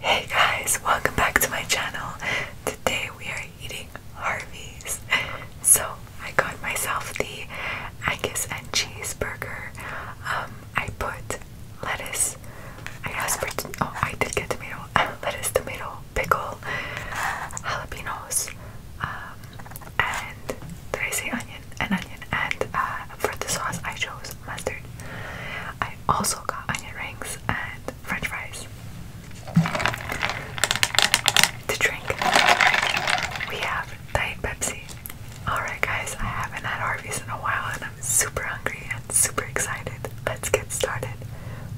Hey guys, welcome back to my channel. Today we are eating Harvey's. So I got myself the Angus and cheeseburger. Um, I put lettuce. I asked for oh I did get tomato, lettuce, tomato, pickle, jalapenos, um, did I say onion? An onion. And uh, for the sauce, I chose mustard. I also got onion rings and French fries. To drink, we have Diet Pepsi. Alright, guys, I haven't had Harvey's in a while and I'm super hungry and super excited. Let's get started.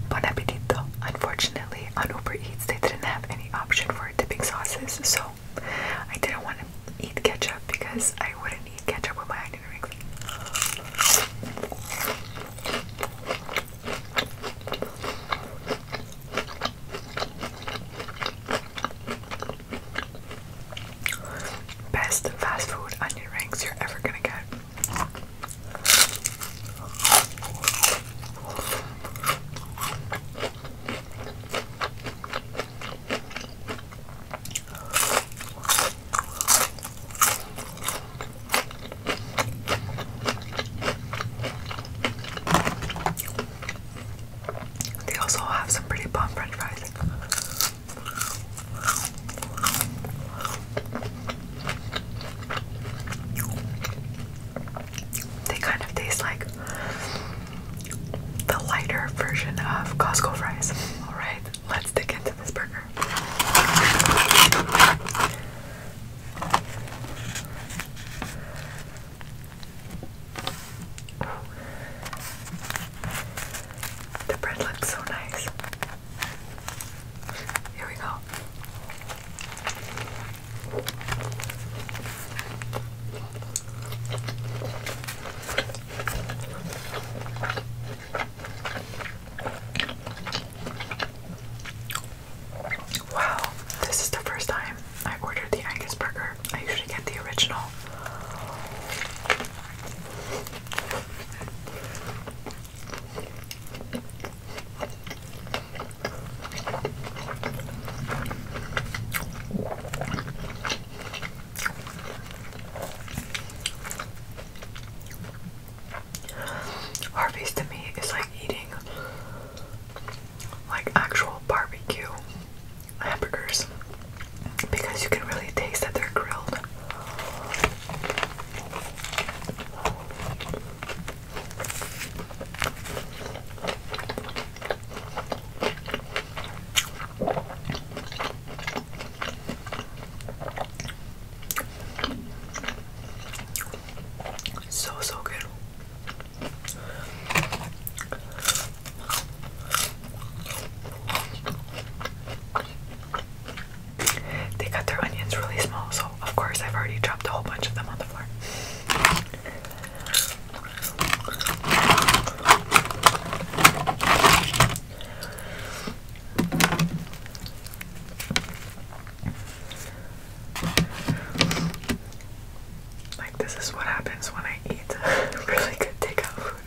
Bon appetito. Unfortunately, on Uber Eats, they didn't have any option for dipping sauces, so I didn't want to eat ketchup because I wouldn't eat ketchup with my onion rings. Best fast food onion rings you're ever gonna get. They also have some pretty bomb french fries. They kind of taste like the lighter version of Costco fries. Alright, let's dig into this burger. The bread looks so nice. Here we go. Wow, this is the first time I ordered the Angus burger. I usually get the original. Harvey's to me is like eating like actual barbecue hamburgers because you can really taste that they're grilled. So, so good. They cut their onions really small, so of course I've already dropped a whole bunch of them on the floor. Like, this is what happens when I eat really good takeout food.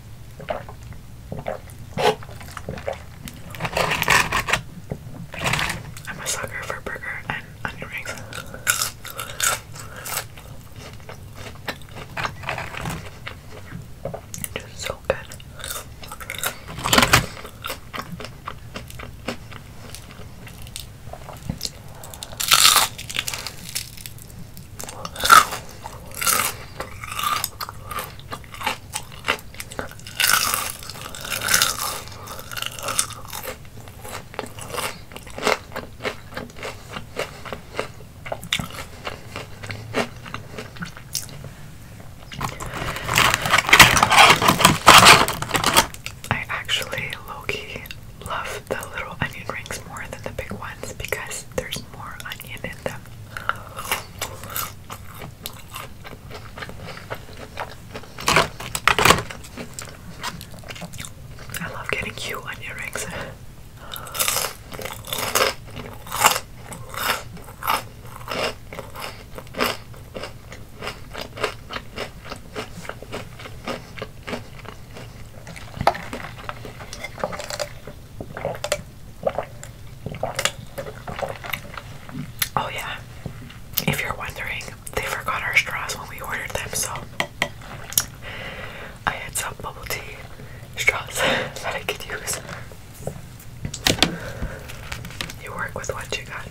I'm a sucker for burger and onion rings. Just so good. I actually low-key love the little onion rings more than the big ones because there's more onion in them. I love getting you on your rings. Oh, yeah. If you're wondering, they forgot our straws when we ordered them, so I had some bubble tea straws that I could use. You work with what you got.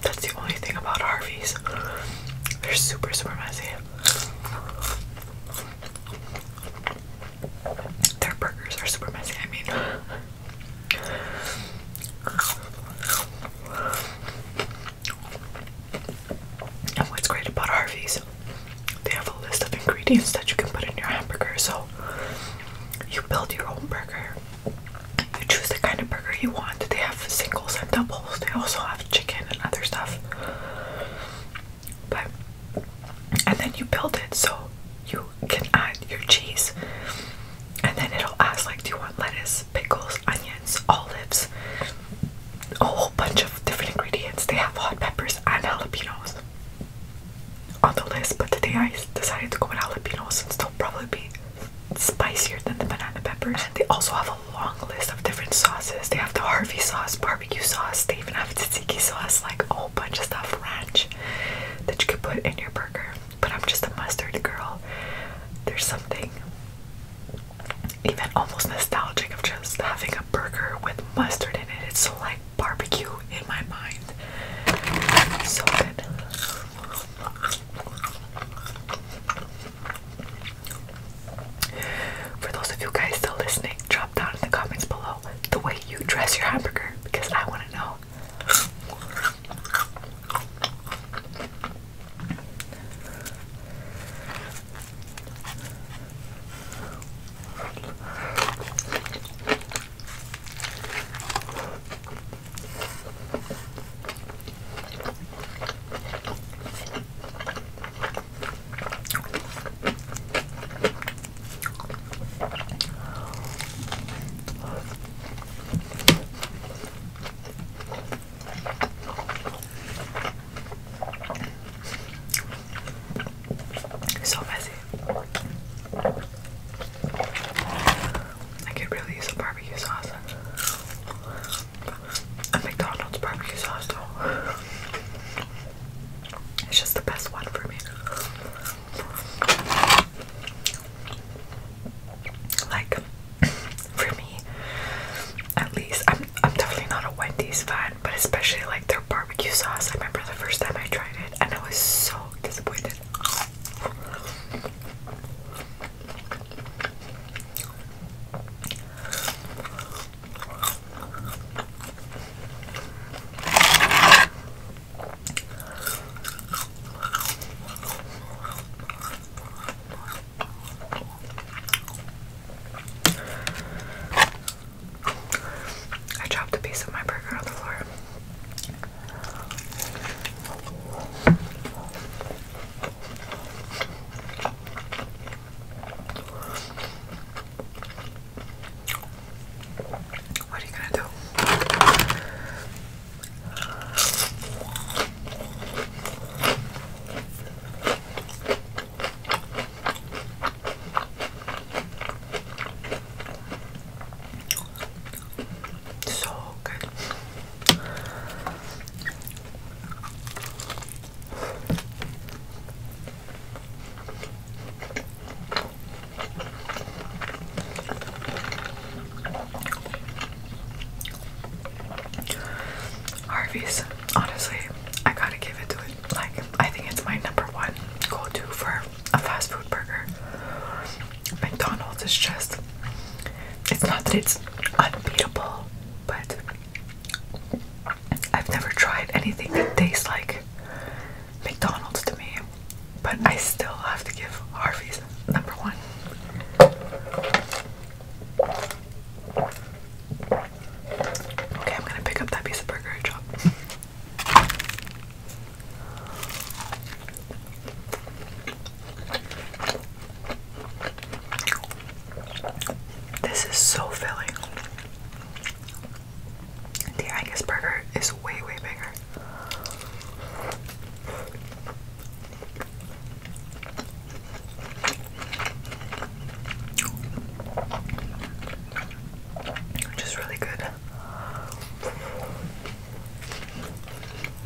That's the only thing about Harvey's. They're super, super messy. Their burgers are super messy, I mean. And what's great about Harvey's, they have a list of ingredients that you can put in your hamburger. So you build your own burger, you choose the kind of burger you want. They have singles and doubles, they also have chicken and other stuff. But and then you build it so you can add your cheese. And then it'll ask like do you want lettuce, pickles, onions, olives, a whole bunch of different ingredients. They have hot peppers and jalapenos on the list, but today I decided to go with jalapenos and they'll probably be spicier than the banana peppers. And they also have a long list of different sauces. They have the Harvey sauce, barbecue sauce, they even have tzatziki sauce, like a whole bunch of stuff, ranch, that you could put in your burger. But I'm just a mustard girl. There's something even almost nostalgic of just having a burger with mustard in it. It's so like barbecue in my mind. So good. For those of you guys still listening, drop down in the comments below the way you dress your hamburger because I want to know. So messy. I could really use a barbecue sauce a McDonald's barbecue sauce It's just the best one for me. Like for me, at least I'm I'm definitely not a Wendy's fan, but especially like their barbecue sauce. I remember the first time I tried it and I was so disappointed. I dropped a piece of my burger on the floor. What are you gonna do? So good. Harvey's, honestly, I gotta give it to it. Like, I think it's my number one go to for a fast food burger. McDonald's is just it's not that it's unbeatable, but I've never tried anything that tastes like McDonald's to me. But I still have to give Harvey's number one. Okay, I'm gonna pick up that piece of burger chop. This is so filling. The Angus burger is way, way bigger. Which is really good.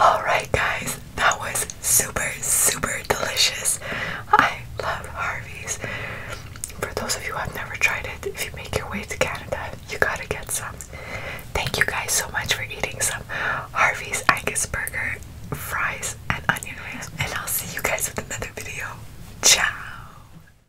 Alright, guys, that was super, super delicious. I love Harvey's. For those of you who have never tried it, if you make your way to Canada, you gotta get some. Thank you guys so much for eating some Harvey's Angus burger, fries, and onion rings. And I'll see you guys with another video. Ciao!